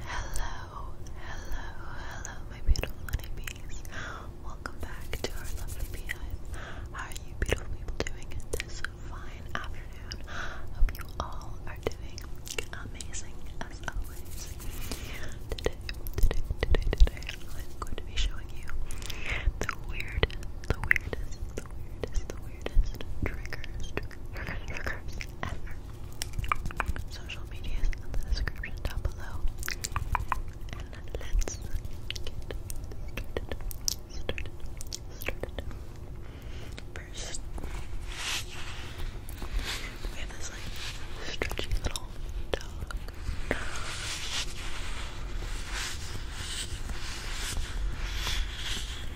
Hello, hello, hello, my beautiful honeybees. Welcome back to our lovely beehive. are you, beautiful people, doing this fine afternoon? Hope you all are doing amazing as always. Today, today, today, today, I'm going to be showing you the weird, the weirdest, the weirdest, the weirdest triggers, triggers, triggers ever social medias in the description down below. And let's get started. Started. Started. First, we have this like stretchy little dog.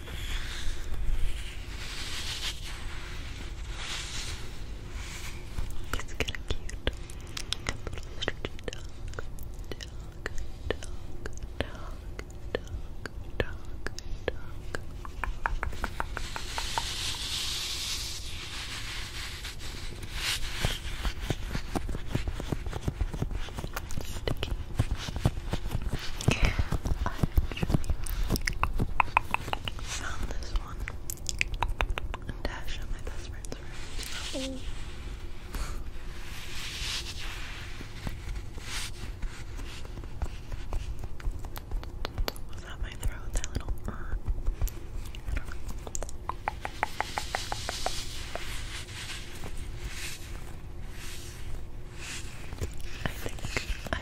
It's kind of cute. stretchy dog, dog, dog, dog, dog, dog, dog. Sticky, I actually found this one in Dash my best friend's room. Oh. Was that my throat? That little. Uh, I don't know. I think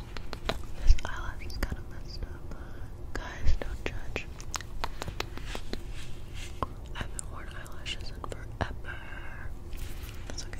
This eyelash is kind of messed up. Guys, don't judge. I haven't worn eyelashes forever. That's okay.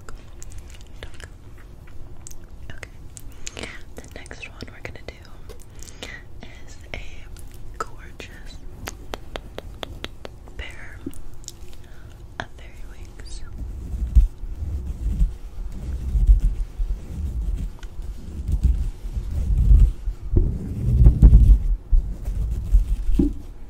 talk, talk. Okay. The next one we're gonna do is a gorgeous pair of fairy wings.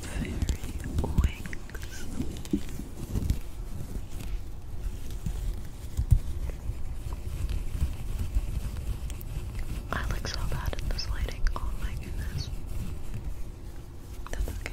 fairy wings. I look so bad in this lighting. Oh my goodness. That's okay.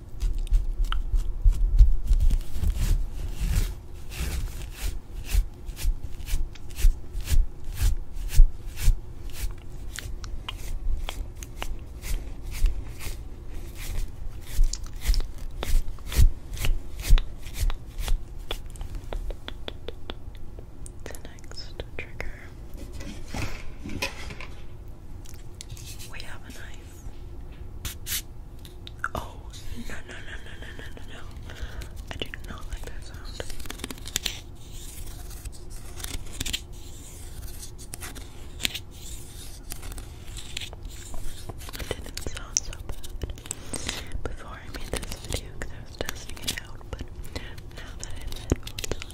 The next trigger we have a knife. Oh, no, no, no, no, no, no, no, I do not like that sound. It didn't sound so bad before I made this video because I was testing it out, but now that I have oh,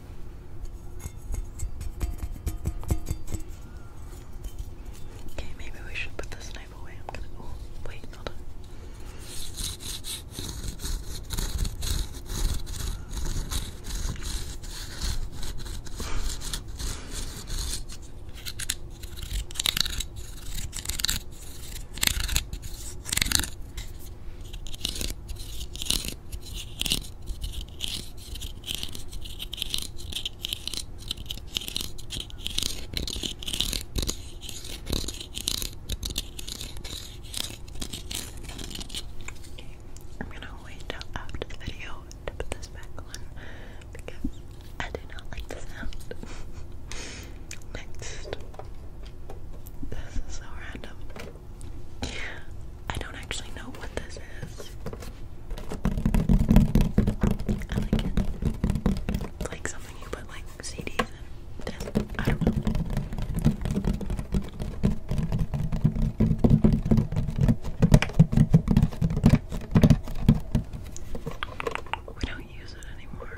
Okay, maybe we should put this knife away. I'm gonna. go wait, I'm gonna wait till after the video to put this back on because I do not like the sound. Next, this is so random. I don't actually know what this is. I like it. It's like something you put like CDs in. I don't know. We don't use it anymore,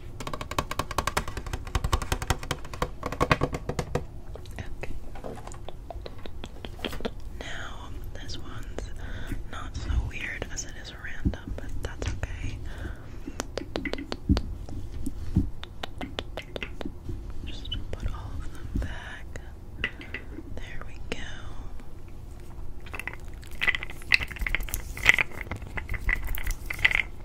Okay. Now, this one's not so weird as it is random, but that's okay. Just put all of them back. There we go.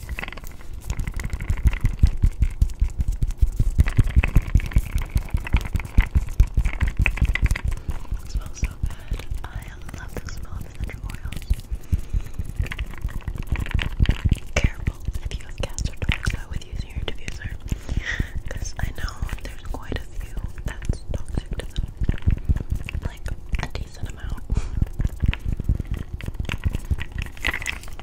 It smells so good. I love the smell of essential oils. Careful if you have cast or toys with using your diffuser. Because I know there's quite a few that's toxic to them. Like a decent amount.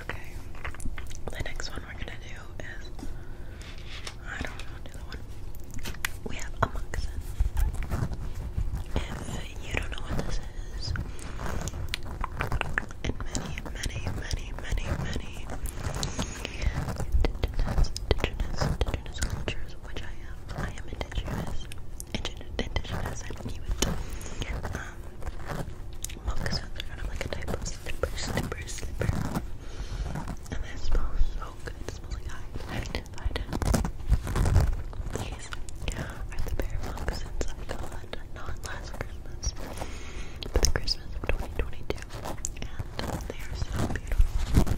Okay. The next one we're gonna do is I don't know We have a moccasin. If you don't know what this is, and many, many, many, many, many indigenous, indigenous, indigenous cultures, which I am. I am indigenous. Indigenous, indigenous I don't moccasins are kind of like a type of slipper, slipper, slipper. And they smell so good. It like high identified. These are the pair of moccasins I got not last Christmas, but the Christmas of 2022. And they are so beautiful.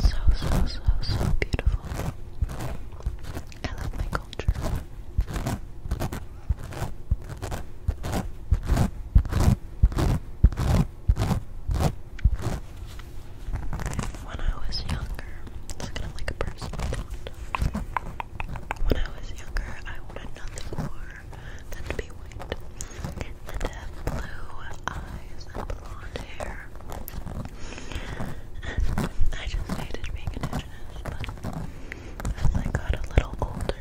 So, so, so, so beautiful. I love my culture. When I was younger, it's kind of like a personal thought. When I was younger, I wanted nothing more than to be white and have blue eyes blonde hair. And I just hated being indigenous, but as I got a little older,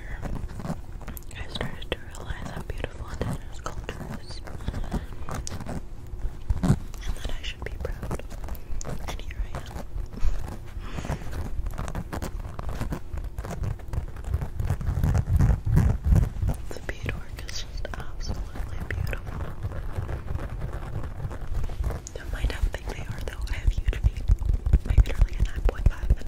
I started to realize how beautiful indigenous culture is. And that I should be proud. And here I am. The beadwork is just absolutely beautiful don't mind how big they are though. I have huge feet. Maybe they're a 9.5 and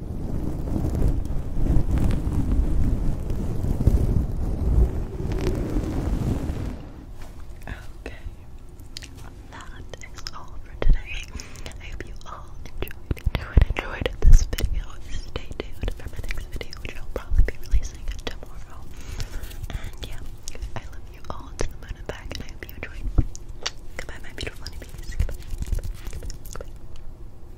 Okay, that is all for today. I hope you all enjoyed, enjoyed, enjoyed this video. Stay tuned for my next video, which I'll probably be releasing tomorrow. And yeah, I love you all to the moon and back, and I hope you enjoyed. Goodbye, my beautiful honeybees. Goodbye. Goodbye. Goodbye.